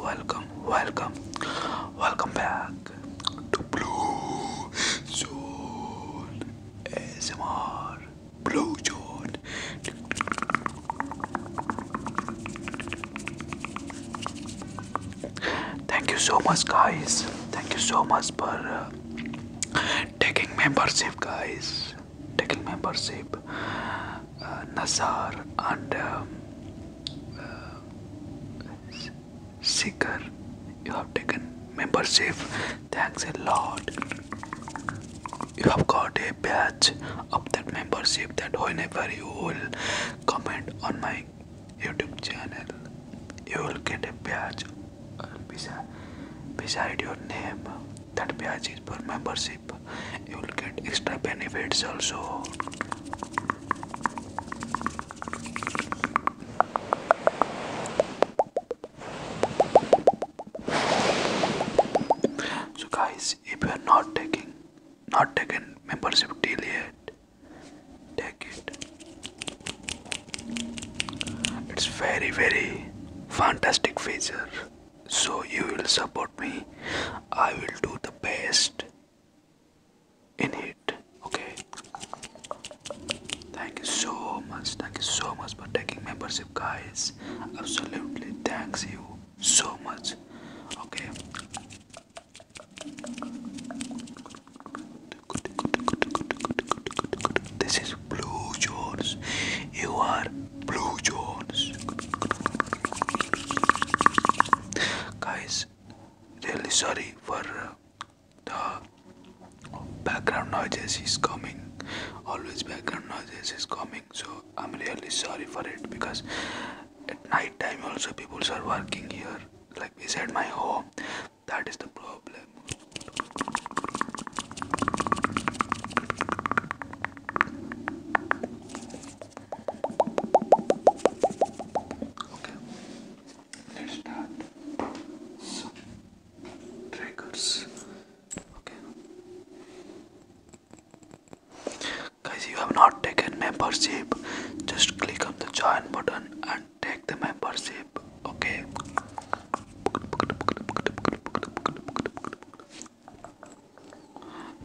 Welcome, welcome, welcome back to Blue Zone ASMR. Blue Zone Thank you so much, guys. Thank you so much for uh, taking membership, guys. Taking membership, uh, Nazar and um, uh, Seeker. You have taken membership. Thanks a lot you have got a badge of that membership that whenever you will comment on my YouTube channel, you will get a badge uh, beside, beside your name. That badge is for membership. You will get extra benefits also. So guys, if you are not taking, not taken membership till yet, take it. It's very very fantastic feature. So you will support me. I will do the best in it. Okay. Thank you so much. Thank you so much for taking membership, guys. Absolutely thanks you so much. Okay. This is Blue Jones. You are Blue Jones. Guys, really sorry for uh, the background noises He's coming. Always background noises He's coming so i'm really sorry for it because at night time also people are working here like we said, my home that is the problem okay let's start some triggers okay Guys, you have not taken membership. Just click on the join button and take the membership. Okay.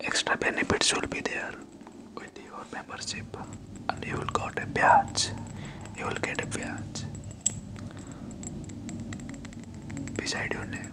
Extra benefits will be there with your membership, and you will get a badge. You will get a badge beside your name.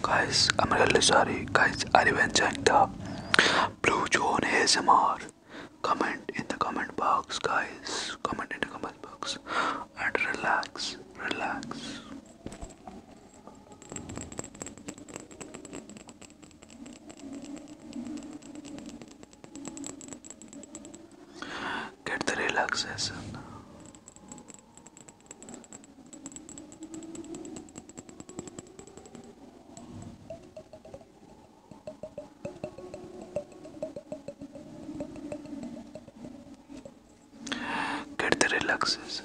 Guys, I'm really sorry. Guys, I are you enjoying up. Blue John ASMR. Comment in the comment box, guys. Comment in the comment box and relax, relax. Get the relaxation. Get the relaxation.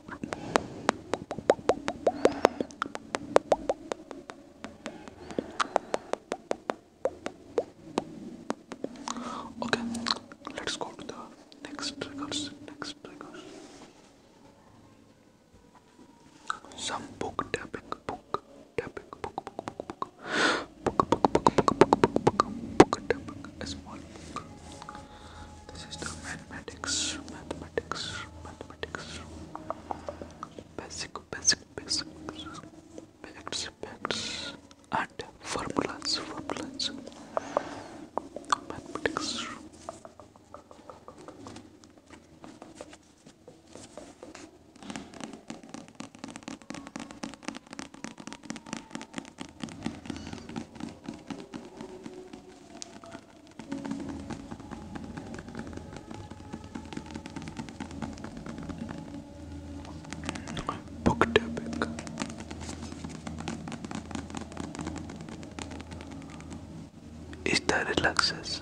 Okay, let's go to the next triggers. Next triggers. Some book book, this is the mathematics, mathematics, mathematics. Basic, basic, basic, facts, facts, and formulas, formulas. Mathematics. Book topic. Esta relaxes.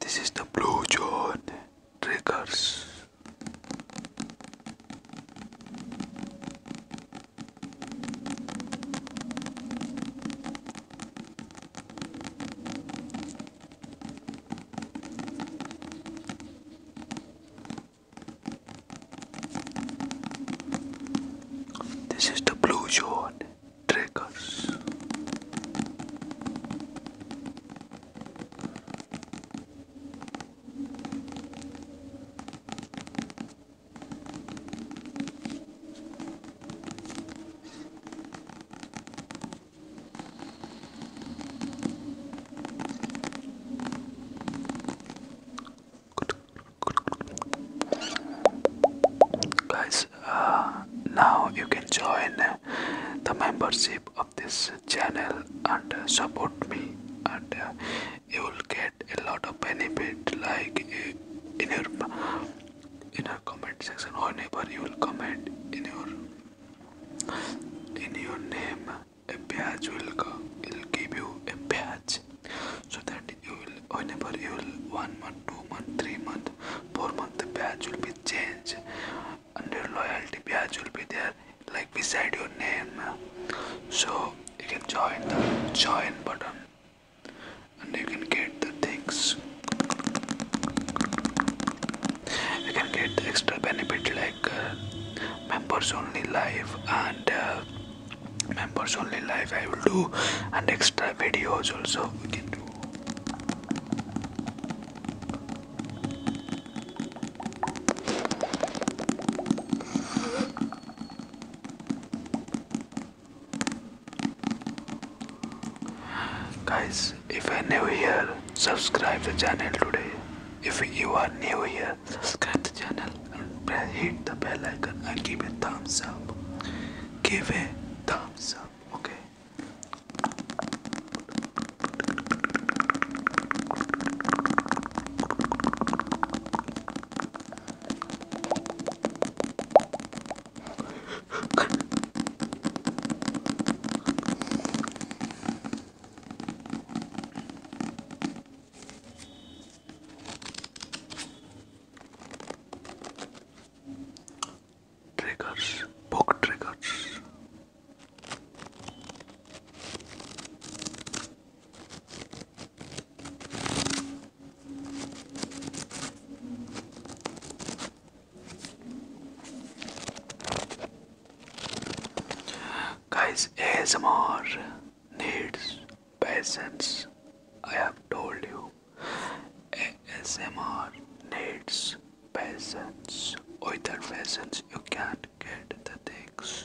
This is the Blue John Triggers. This is the Blue Zone Triggers. Guys, uh, now you can join the membership of this channel and support me, and uh, you will get a lot of benefit. Like uh, in your in your comment section, whenever you will comment in your in your name a badge will go it'll give you a badge so that you will whenever you will one month two month three month four month the badge will be changed under loyalty badge will be there like beside your name so you can join the join button and you can get the things you can get the extra benefit like members only live and uh, members only live I will do and extra videos also we can do guys if you're new here subscribe the channel today if you are new here, subscribe the channel and hit the bell icon and give a thumbs up. Give a thumbs up, okay? Triggers, book triggers. Guys, ASMR needs patience. I have told you. ASMR needs patience. Without patience, you can't get the things.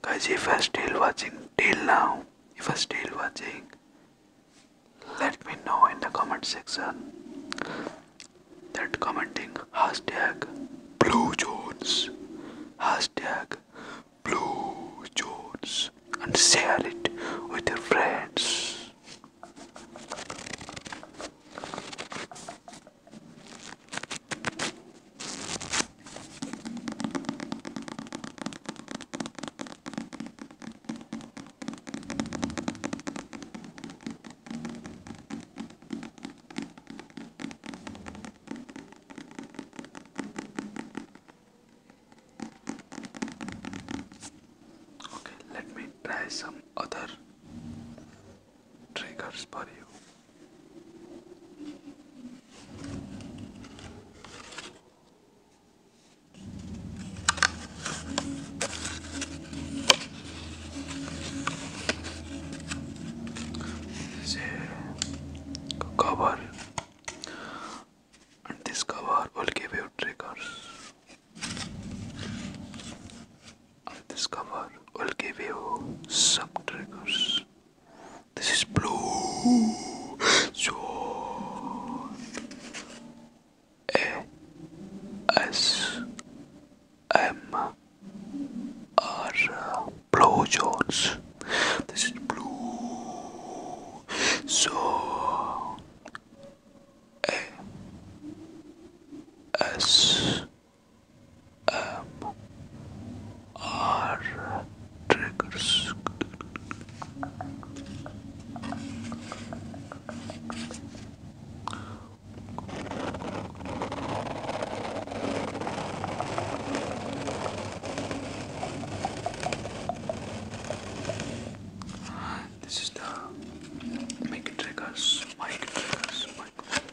Guys, if I are still watching till now, if I are still watching, let me know in the comment section that commenting hashtag Blue Jones, hashtag Blue Jones, and share it with your friends. Okay, let me try some other triggers for you. This cover and this cover will give you triggers this cover will give you some triggers. This is blue zone. A S M are uh, Blue Jones. This is blue. So A S M R triggers. This is the make triggers, mic triggers, mic, mic.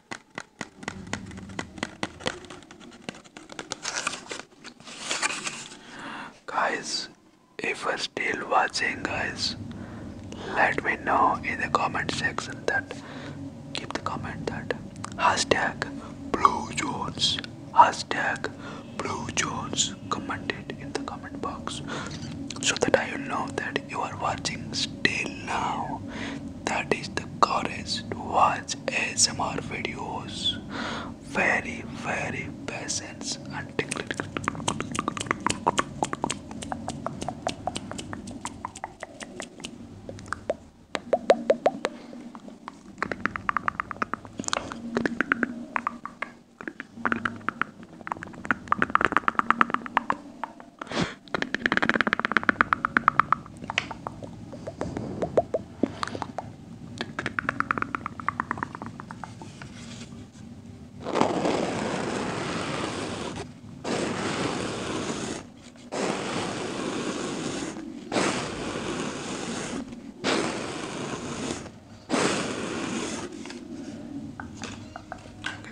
Guys, if you're still watching, guys, let me know in the comment section that keep the comment that hashtag Blue Jones, hashtag Blue Jones, comment it in the comment box so that I will know that you are watching still now that is the courage to watch ASMR videos. Very, very patience and tickle. Okay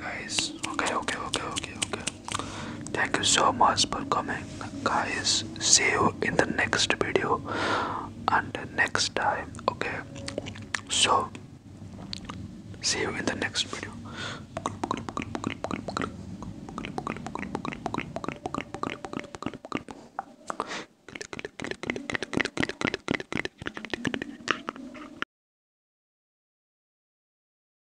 guys, okay, okay, okay, okay, okay. Thank you so much for coming, guys. See you in the next video and next time. Okay, so see you in the next video.